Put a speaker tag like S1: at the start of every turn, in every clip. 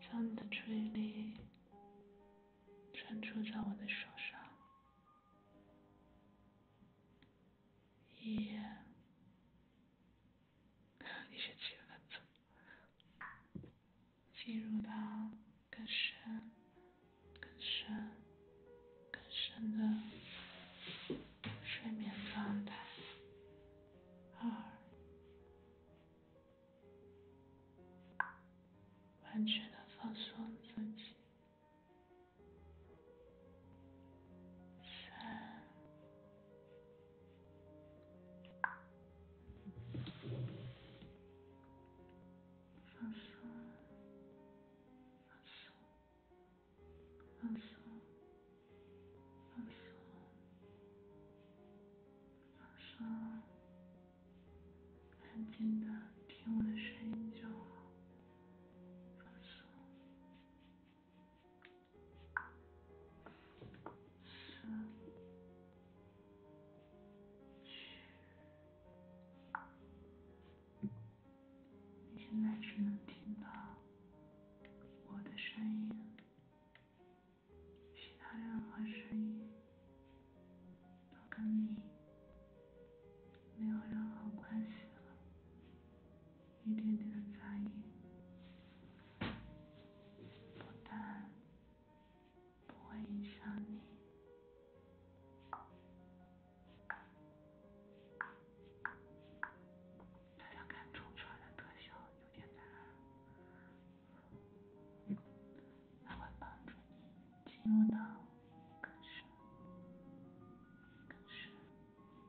S1: 将你的注意力专注在我的手上。一，你是知识分子，进入到更深、更深、更深的睡眠状态。二。完全的放松自己，放松，放松，放松。放松，安静的听我的声音就好。放松，三、二、一，你现在只能听到我的声音。其他任何声音都跟你没有任何关系了，一点点的杂音不但不会影响你。大家看冲出来的特效有点难。它会帮助你进入到更深、更深、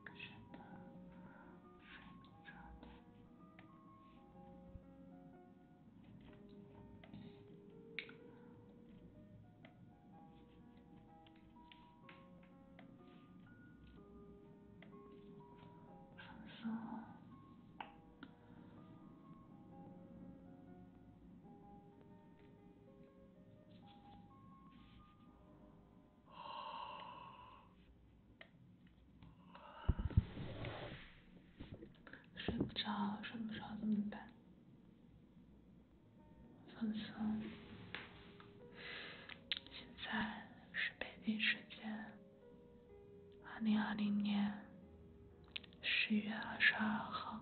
S1: 更深的睡梦状态，放松。睡不着，睡不着怎么办？放松。现在是北京时间。二零二零年十一月二十二号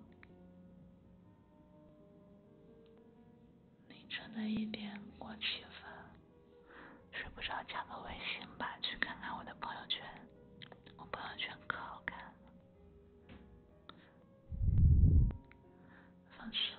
S1: 凌晨的一点过七分，睡不着，加个微信吧，去看看我的朋友圈，我朋友圈可好看了，放松。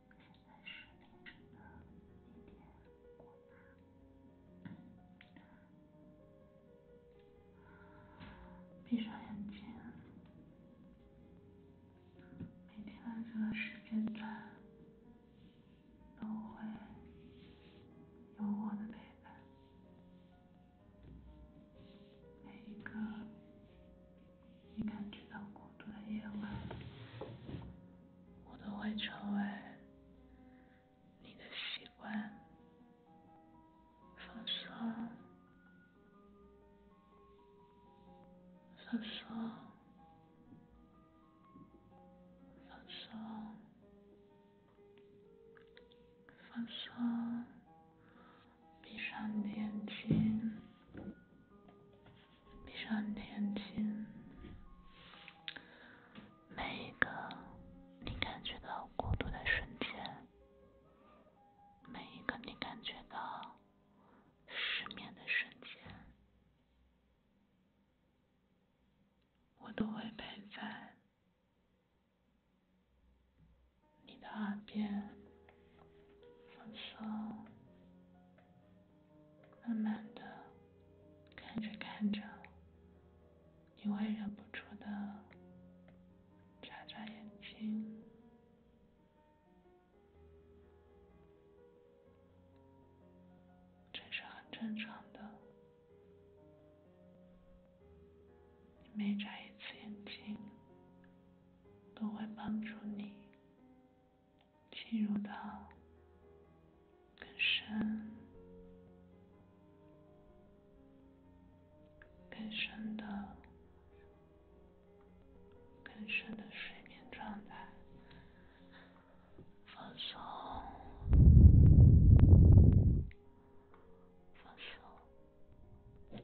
S1: 现是凌晨的一点闭上眼睛，每天的这个时间段都会有我的陪伴，每一个。你感觉到孤独的夜晚，我都会成为你的习惯，放松，放松，放松，放松。闭上眼睛，闭上眼睛。每一个你感觉到孤独的瞬间，每一个你感觉到失眠的瞬间，我都会陪在你的耳边。放松，慢慢的看着看着，你会忍不住的眨眨眼睛，这是很正常的。你每眨一次眼睛，都会帮助你。进入到更深、更深的、更深的睡眠状态，放松，放松。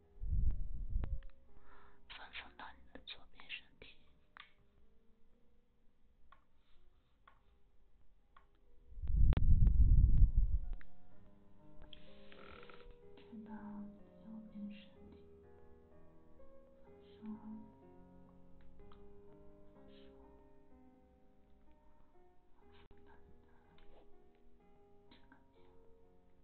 S1: 放松到你的左边身体，转到右边身体，放松，放松，放松到你的右边。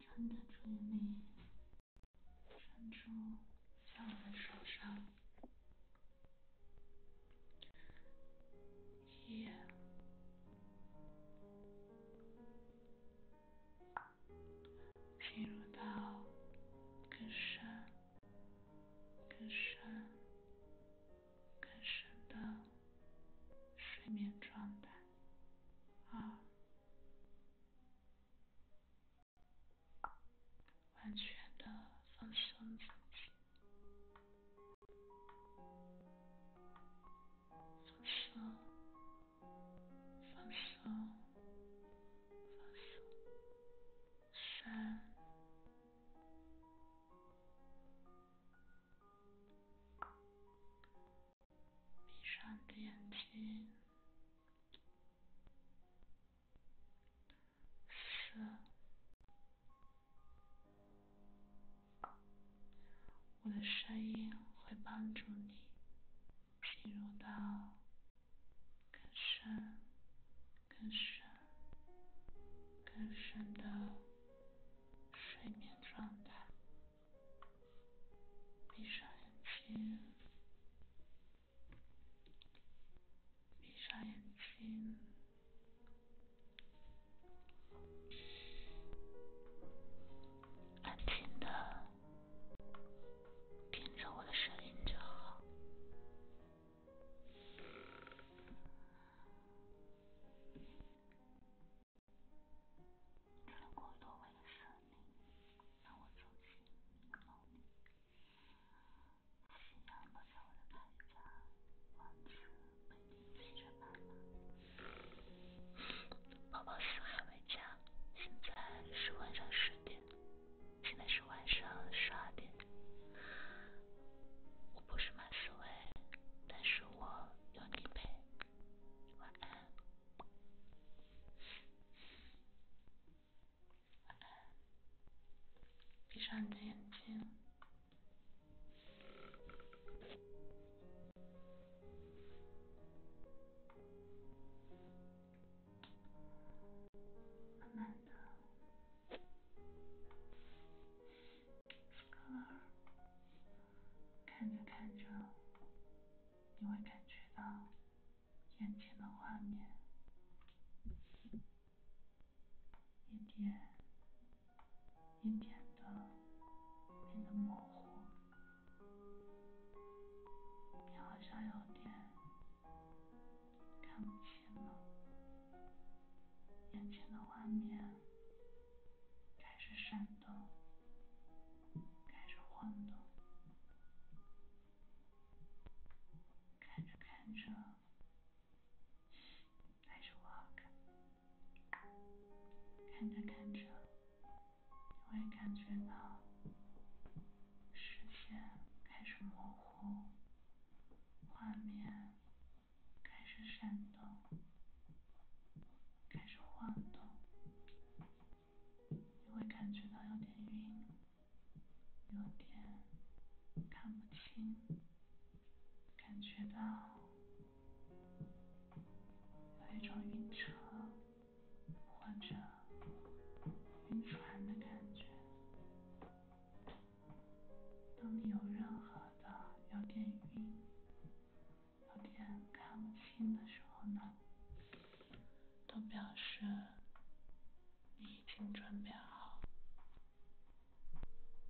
S1: 沉的注意力沉住在我的手上，一进入到更深、更深、更深的睡眠状态，二。完全的放松，自己，放松，放松，放松，三。闭上眼睛，四。我的声音会帮助你进入到更深、更深、更深的睡眠状态。闭上眼睛，闭上眼睛，安静的听着我的声音就好。为过多为了胜利，让我走进拥抱你。夕阳落在我的白家，王子北京青春版宝宝四海为家，现在是晚上十点，现在是晚上十二点。我不是马思维，但是我有你陪。闭上眼的，思考，看着看着。你会感觉到眼前的画面一点一点的变得模糊，你好像有点看不清了，眼前的画面开始闪动。开始晃动，看着看着，还是我好看。看着看着，你会感觉到视线开始模糊，画面开始闪动，开始晃动。你会感觉到有点晕，有点看不清，感觉到有一种晕车或者晕船的感觉。当你有任何的有点晕。有点看不清的时候呢，都表示你已经准备好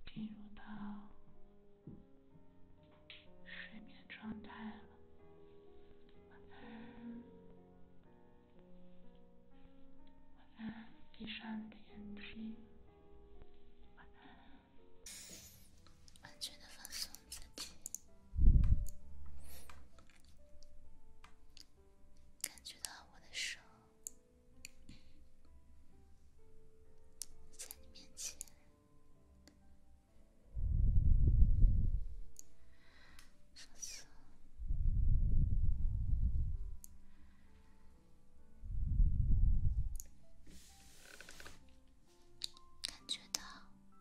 S1: 进入到睡眠状态了。晚安，晚安，闭上眼睛，晚安。完全的放松自己，
S2: 感觉到我的手在你面前，放松。感觉到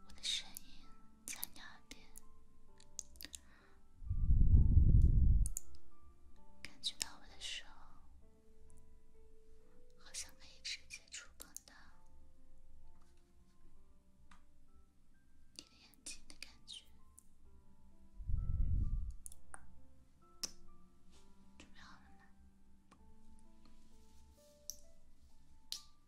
S2: 我的声音在你耳边，感觉到我的手好像可以直接触碰到你的眼睛的感觉，准备好了吗？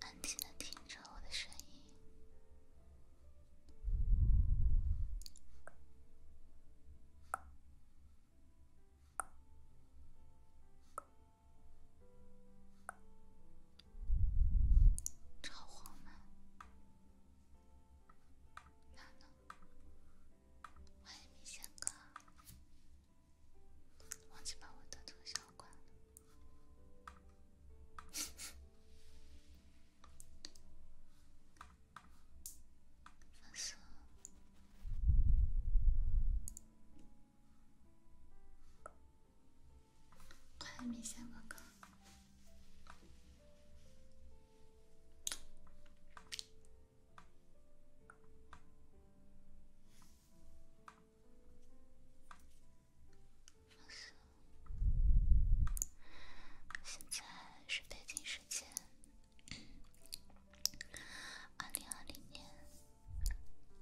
S2: 安静的听着我的声音，超黄吗？哪呢？欢迎米线哥，忘记把我灯从小关了，放肆。欢迎米线哥哥。现在是北京时间，二零二零年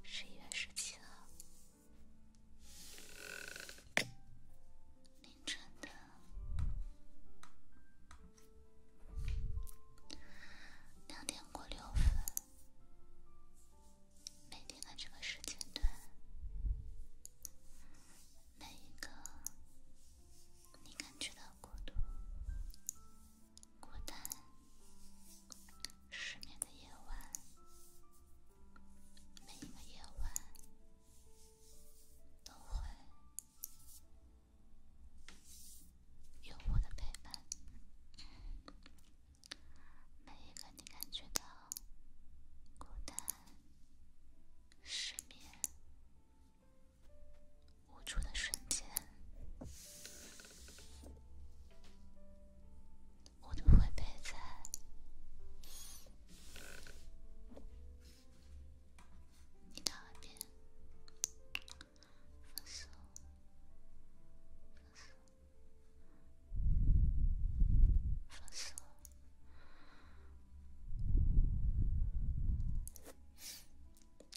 S2: 十一月十七号凌晨的。两点过六分，每天的这个时间段，每一个你感觉到孤独、孤单、失眠的夜晚，每一个夜晚都会。有我的陪伴，每一个你感觉到孤单、失眠、无助的瞬间，我都会陪在。你那边，放松，放松，放松。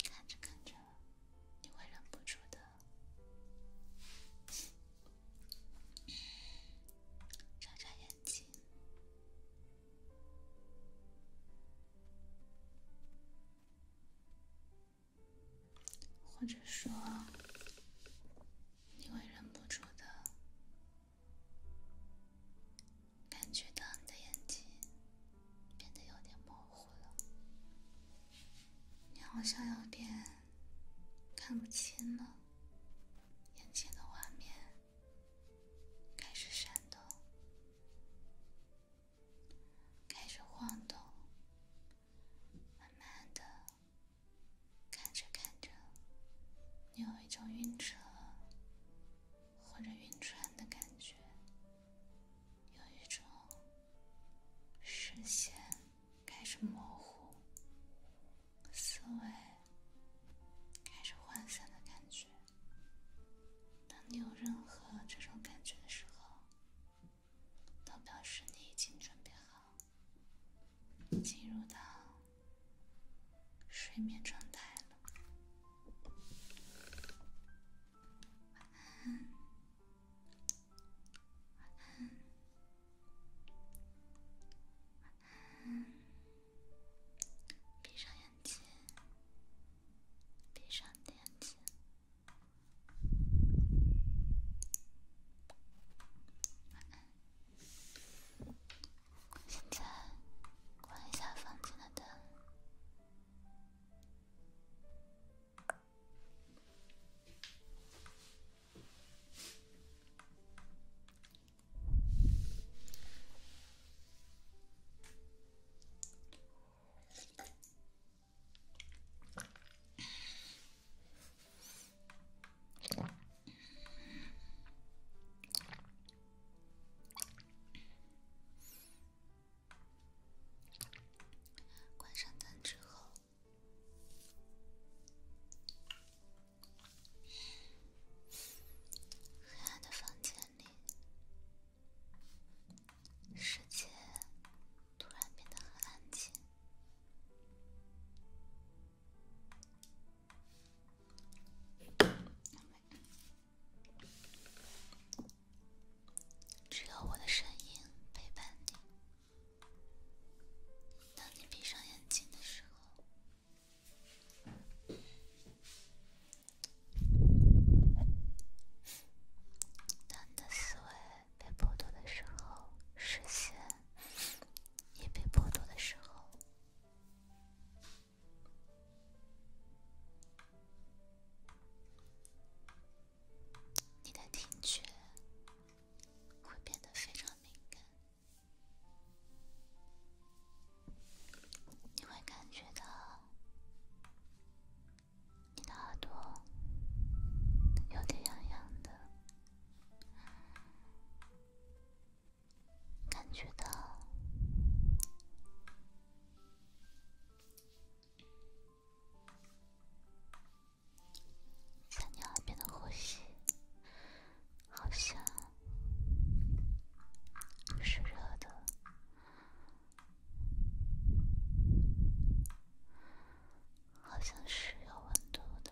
S2: 看着看着，你会忍不住的眨眨眼睛。或者说，你会忍不住的感觉到你的眼睛变得有点模糊了，你好像有点看不清了眼前的画面。开始闪动，开始晃动，慢慢的，看着看着，你有一种晕车或者晕船的感觉，有一种视线开始模糊，思维开始涣散的感觉。当你有任何这种感觉的时候，都表示你已经准备好进入到睡眠状态了。晚安，晚安，闭上眼。关机，闭上眼睛，晚安。现在关一下房间的灯。关上灯之后，黑暗的房间里。世界突然变得很安静，只有我的声音陪伴你。当你闭上眼睛的时候。男的思维被剥夺的时候，视线也被剥夺的时候，你的听觉会变得非常敏感，你会感觉到。你的耳朵有点痒痒的，感觉到在你耳边的呼吸好像是热的。好像是有温度的。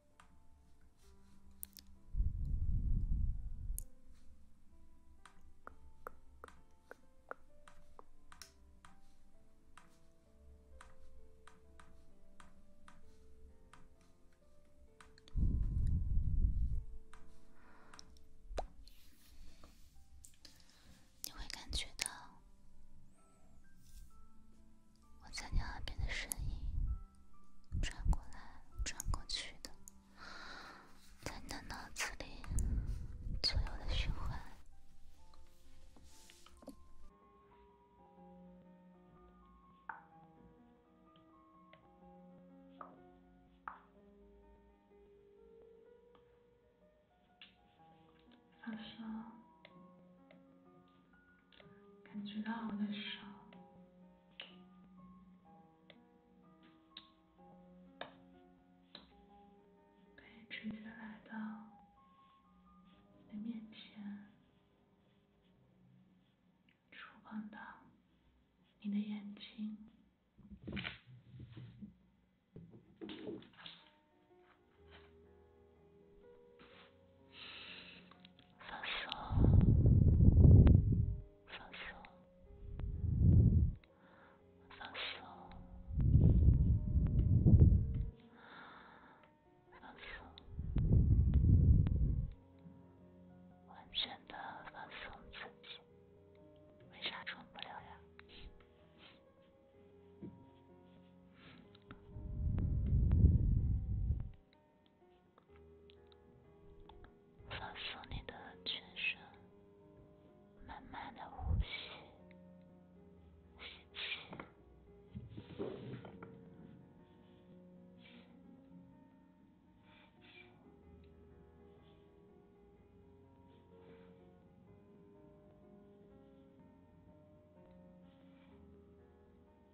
S2: 你会感觉到。我在你耳边的声音，转过来转过去的，在你的脑子里左右的循环，
S1: 放心。感觉到我的手可以直接来到你的面前，触碰到你的眼睛。放松，放松，放松，放松，完全的放松自己。为啥充不了呀？放松你的全身，慢慢的呼吸。吸气，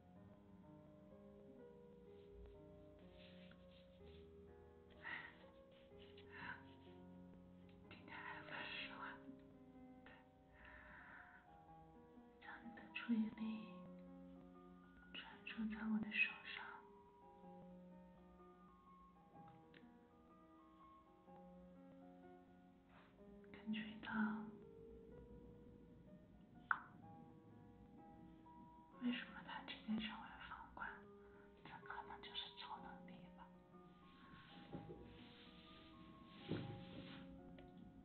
S1: 听他还不说话，将你的注意力专注在我的手上，感觉到。为什么他直接成为房管？这可能就是超能力吧。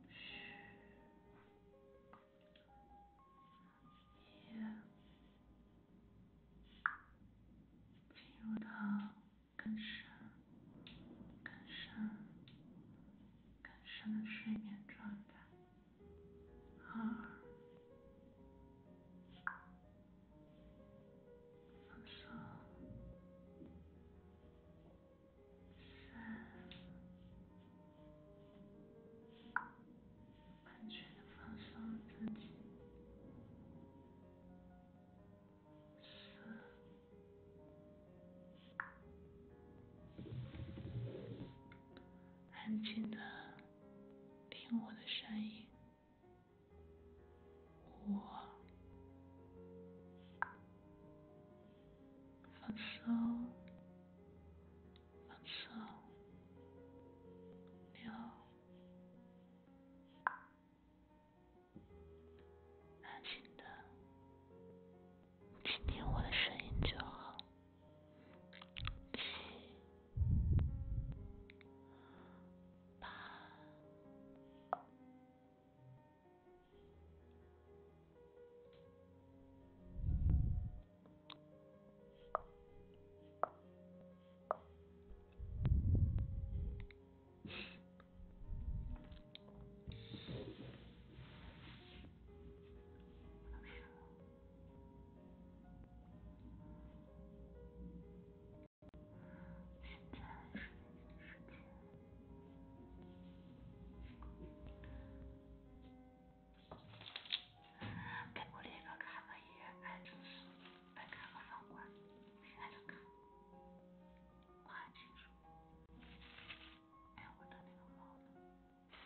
S1: 嘘，一，进入到更深，更深。更深的睡眠状态，二，放松，三，完全的放松自己，四。安静的听我的声音，我放松，放松，六，安静的。听听我的声音就好。七，八，二。现在是时间。给我列个看个医院、看个事、再看个饭馆，现在就看。我很清楚。哎，我的那个猫呢？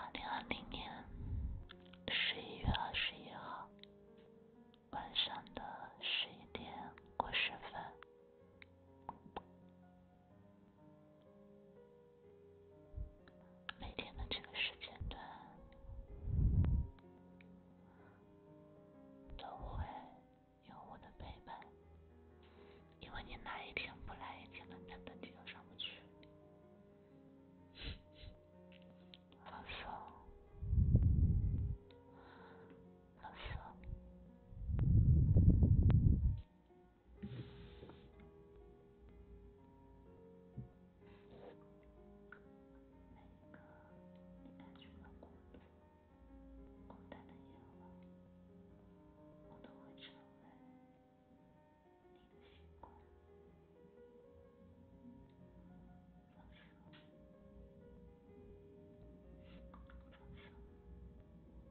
S1: 二零二零年十一月二十号晚上的十一点过十分。每天的这个时间段都会有我的陪伴，因为你哪一天不来，一天的等级就上不去。放松，放松。每一个你感觉到孤独、孤单的夜晚，我都会成为你的星光。放松，放松。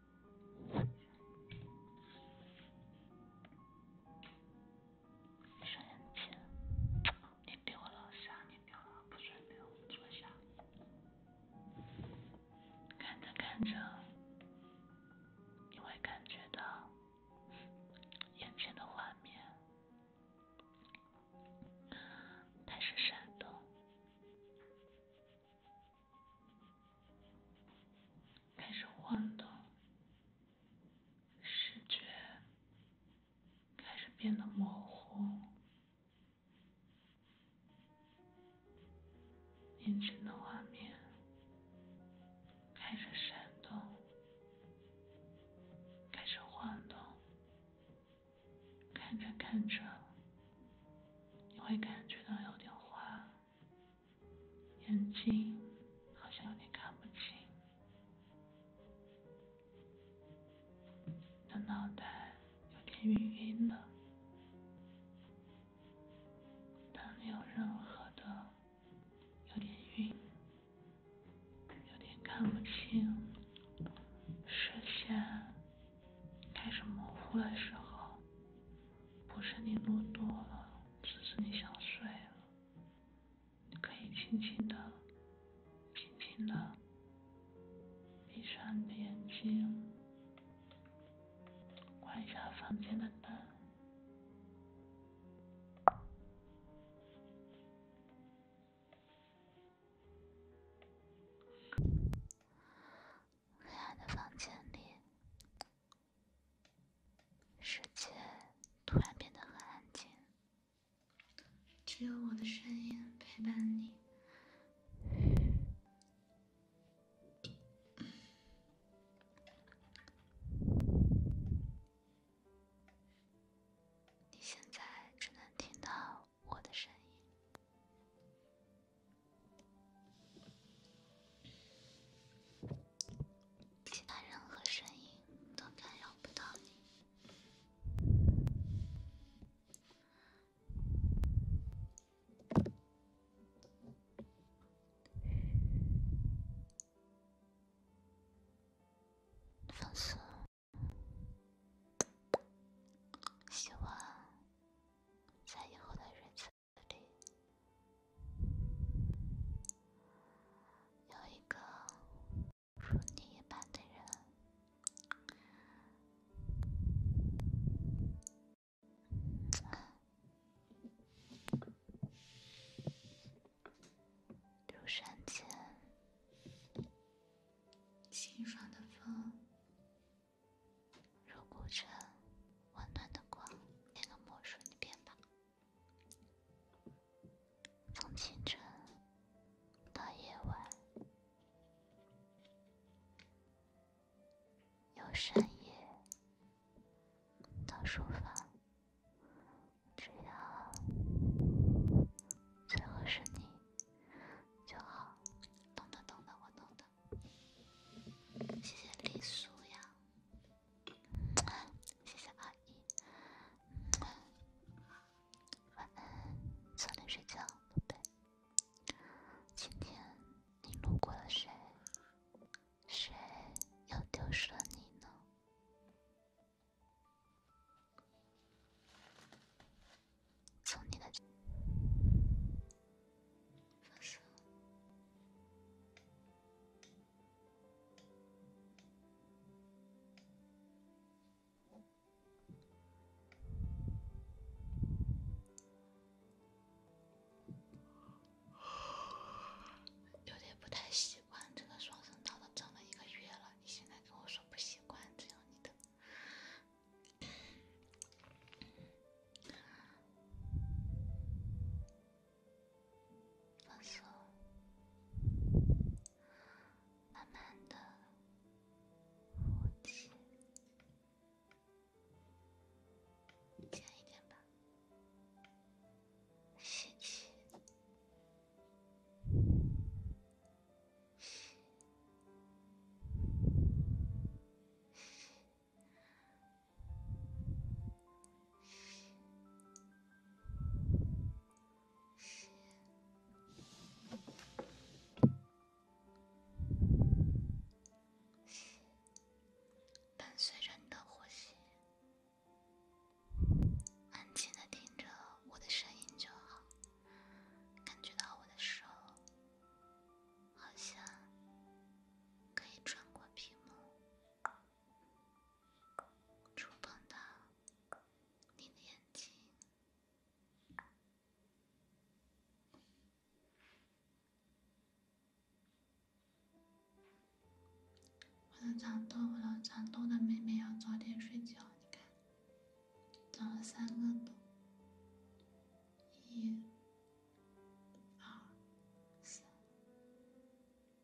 S1: 闭上眼睛，你掉了啥？你掉了，不准掉！坐下。看着看着，你会感觉到眼前的画面开始闪动。开始晃动，视觉开始变得模糊，眼前的画面开始闪动，开始晃动。看着看着，你会感觉到有点花。眼睛好像有点看不清，但脑袋有点晕晕的，但没有任何的有点晕、有点看不清、视线开始模糊的时候。不是你录多了，只是你想睡了。你可以轻轻的、轻轻的闭上眼睛，关一下房间的灯。
S2: 黑暗的房间里。世界突然变得很安静，只有我的声音陪伴你。你现在只能听到我的声音。其他任何声音都干扰不到你。放松，希望在以后的日子。这里有一个如你一般的人，如山间清爽的风，如古城温暖的光。那个魔术，你变吧。从清晨到夜晚，由深夜到书房，只要最后是你就好。懂的懂的，我懂的。谢谢丽素呀。谢谢阿姨，晚安，早点睡觉，宝贝。今天你路过了谁？谁又丢失了你呢？从你的。有点不太习惯这个双声道都整了一个月了，你现在跟我说不习惯，这样的。放松，慢慢的呼气，浅一点吧，吸气。伴随着你的呼吸，安静的听着我的声音就好。感觉到我的手，好像可以穿过屏幕。触碰到你的眼睛，我的长痘，我的长痘的妹妹要早点睡觉，你看，长了三个痘，一、
S1: 二、三。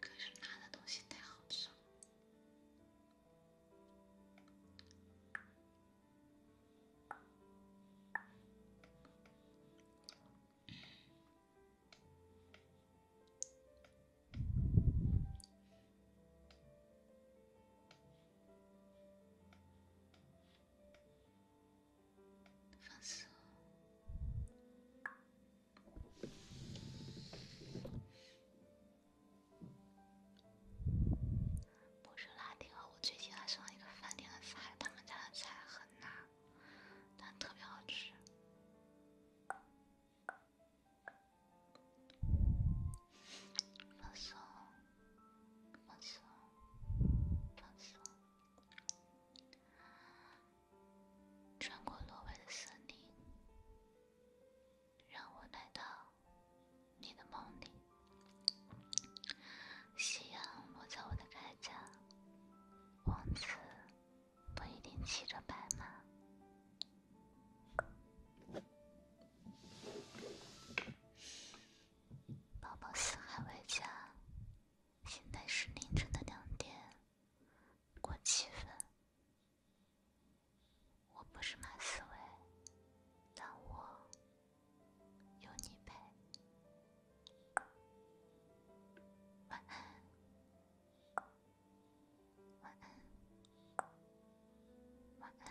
S2: 可是拿的东西太好吃了。放肆！不是拉丁啊，我最近爱上一个饭店的菜，他们家的菜很辣，但特别好吃。放松，放松，放松。穿过挪威的森林，让我来到你的梦里。夕阳落在我的铠甲，王子不一定骑着白马。宝宝四海为家，现在是凌晨的两点过七分。我不是马思维，但我有你陪。晚安，晚安，晚安。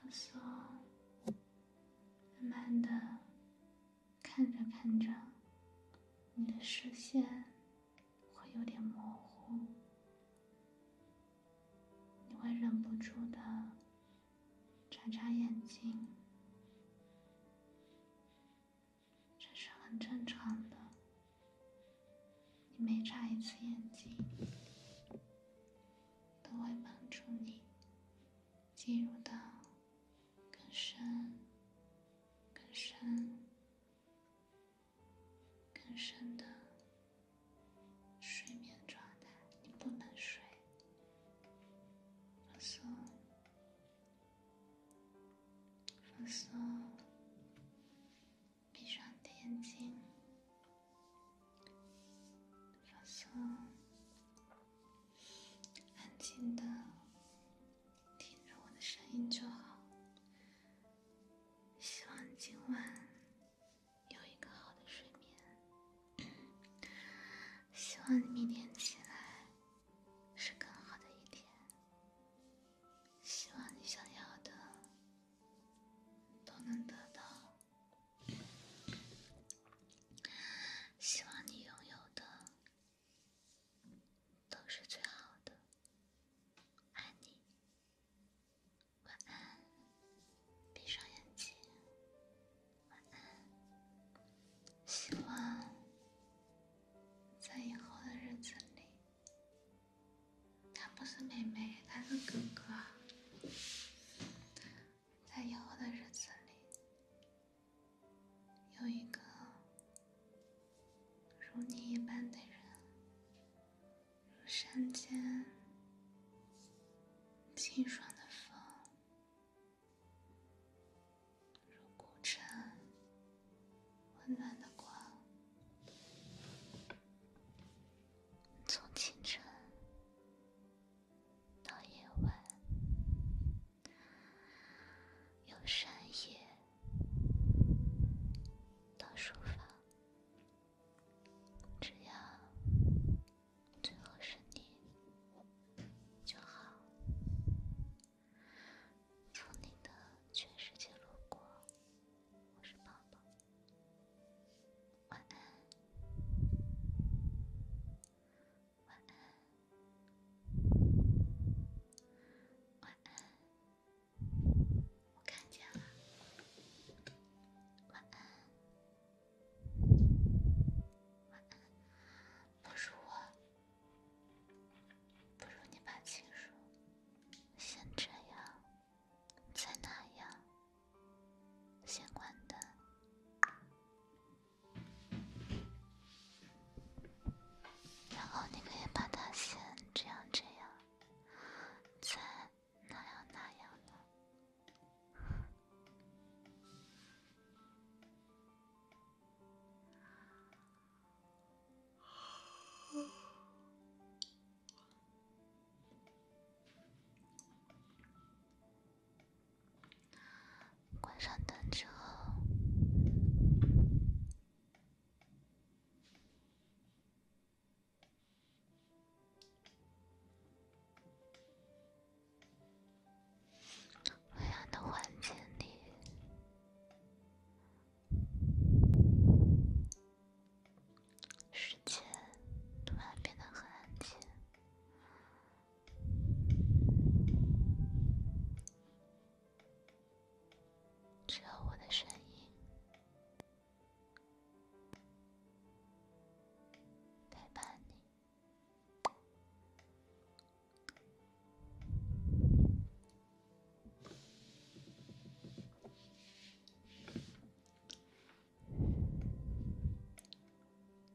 S2: 放松，慢慢的看着看着，你的视线会有点模糊，你会忍不住的眨眨眼睛，这是很正常的。你每眨一次眼睛。都会帮助你进入到更深、更深、更深的睡眠状态。你不能睡，放松，放松，闭上眼睛。放松，安静的听着我的声音就好。希望今晚有一个好的睡眠。希望你明天起来是更好的一天。希望你想要的都能得到。希望你拥有的都是最好的，爱你，晚安，闭上眼睛，晚安。希望在以后的日子里，他不是妹妹，他是哥哥。在以后的日子里，有一个如你一般的人，如山间清爽的风，如古城温暖的光，从清晨。到夜晚，由深夜，到书房，只要最后是你就好。从你的全世界路过，我是宝宝。晚安，晚安，晚安，我看见了，晚安，晚安，不如我，不如你把情书先这样，再那样。先关灯，然后你可以把它先这样
S1: 这样，再那样那样的。
S2: 关上灯之后，昏暗的环境里，时间突然变得很安静。只有我的声音陪伴你。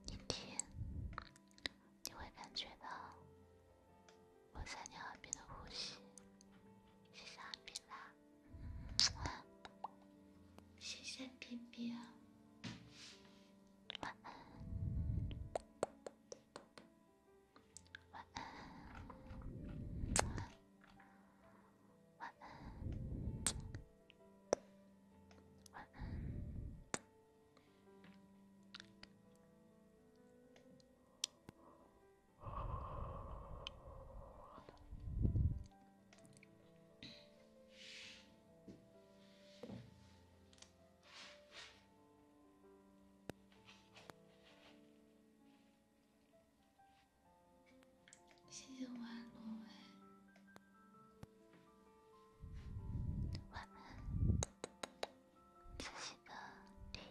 S2: 你听，你会感觉到我在你耳边的呼吸。谢谢阿斌啦，谢谢彬彬，晚安，晚安，晚安。谢谢晚安，罗威。晚安，仔细的听，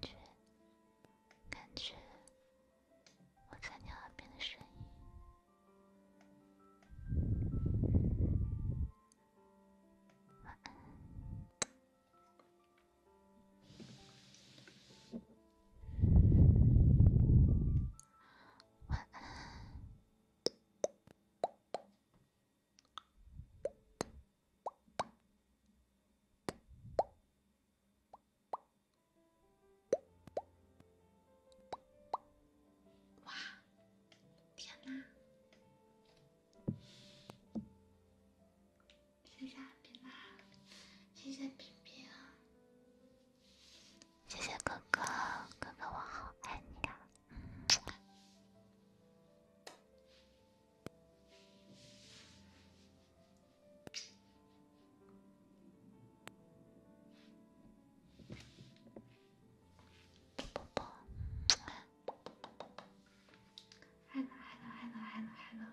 S2: 感觉，感觉我在你耳边的声音。晚安，晚安。哇！天哪！谢谢平啦，谢谢冰冰，谢谢哥哥，哥哥我好爱你呀！啵啵，爱了爱了爱了爱了爱了。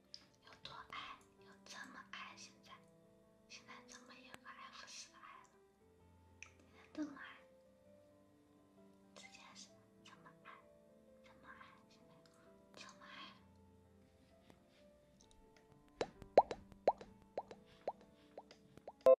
S2: 有多爱？有这么爱？现在，现在怎么一个 F4 的爱了？现在这么爱，直接是这么爱，这么爱，现在这么爱。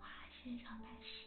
S1: 哇，谢谢小白石。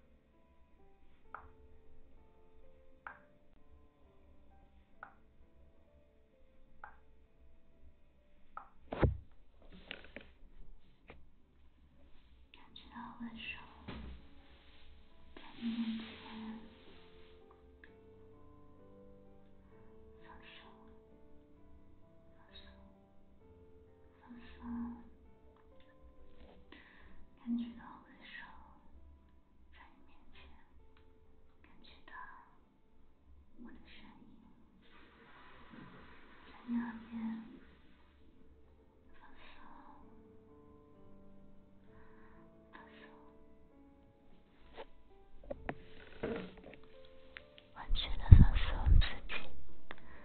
S1: 分手，分手，分手。放松，感觉到我的手在你面前，感觉到我的声音在你耳边，放松，放松，完全的放松自己。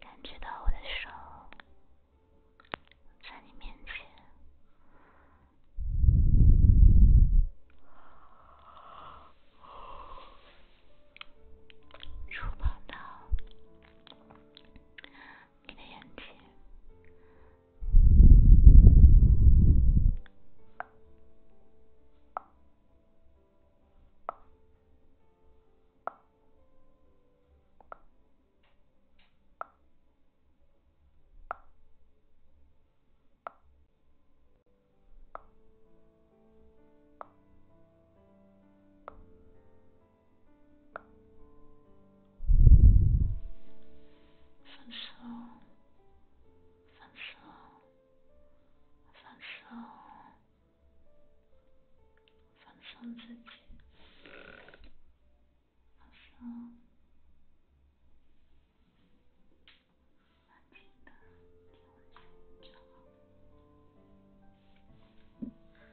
S1: 感觉到我的手在你面前触碰到你的眼睛。分手，分手，分手。放松自己，放松，安静的听我讲就好。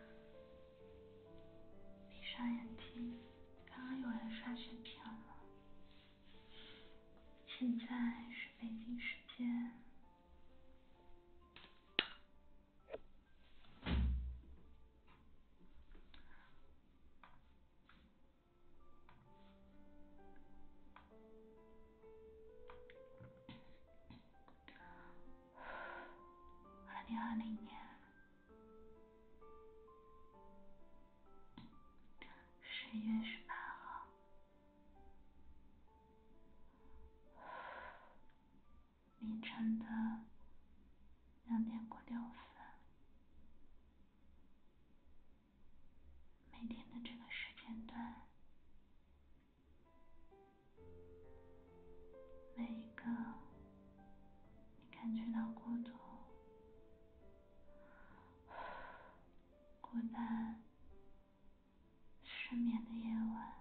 S1: 闭上眼睛，刚刚有人刷视频了。现在是北京时间。二零二零年十一月十八号。凌晨的两点过六分，每天的这个时间段，每一个你感觉到孤独、孤单。失眠的夜晚，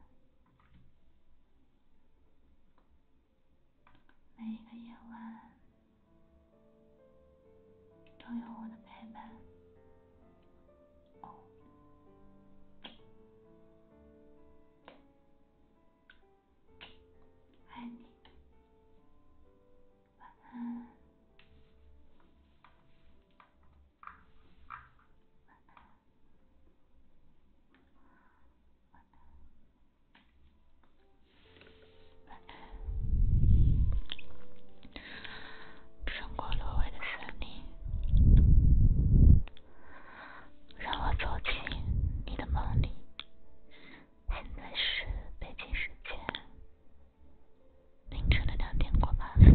S1: 每一个夜晚都有我的陪伴。爱你，晚安。穿过挪威的森林，让我走进你的梦里。现在是北京时间凌晨的两点过八分。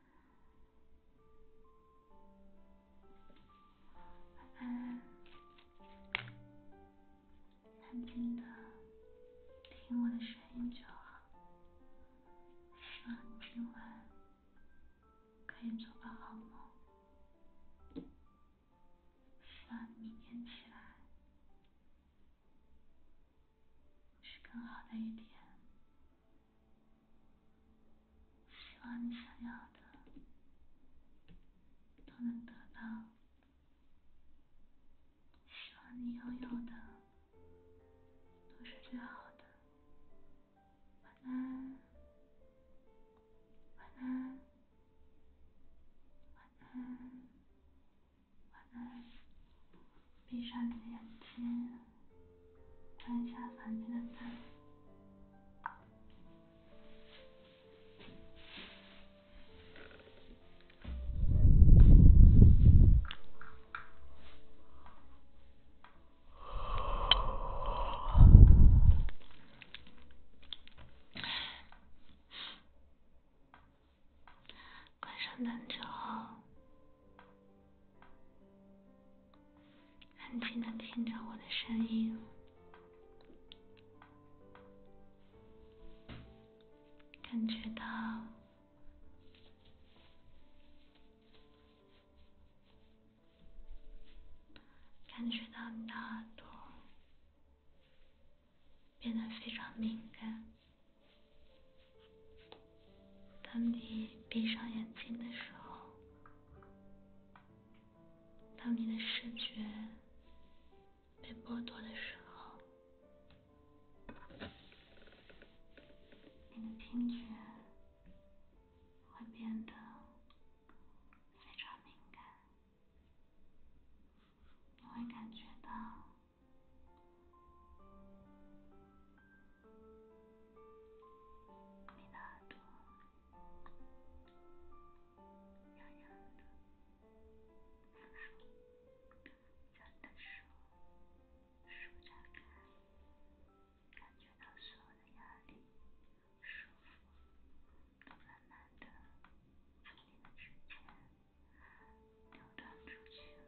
S1: 晚安，安静的听我的声音就好。希望今晚可以做个好梦。希望明天起来是更好的一天。希望你想要的都能得到，希望你拥有的都是最好的。晚安，晚安，晚安，晚安。闭上你的眼睛。看一下房间的灯。关上灯之后，安静的听着我的声音，感觉到，感觉到你的耳朵变得非常敏感。当你闭上眼睛的时候，当你的视觉被剥夺的时候，你的听觉会变得非常敏感，你会感觉到。你那双痒痒的手，牵的手，手在看，感觉到所有的压力、束缚，都慢慢的从你的指尖流淌出去了。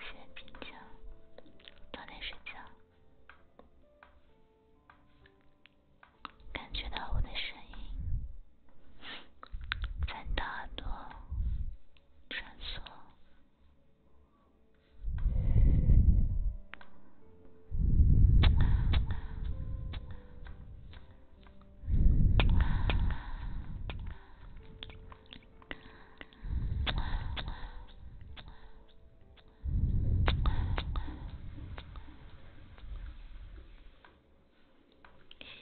S1: 先平静，早点睡觉。感觉到我的声音在你耳朵穿梭。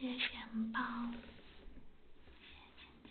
S1: 谢谢包，谢谢晶晶。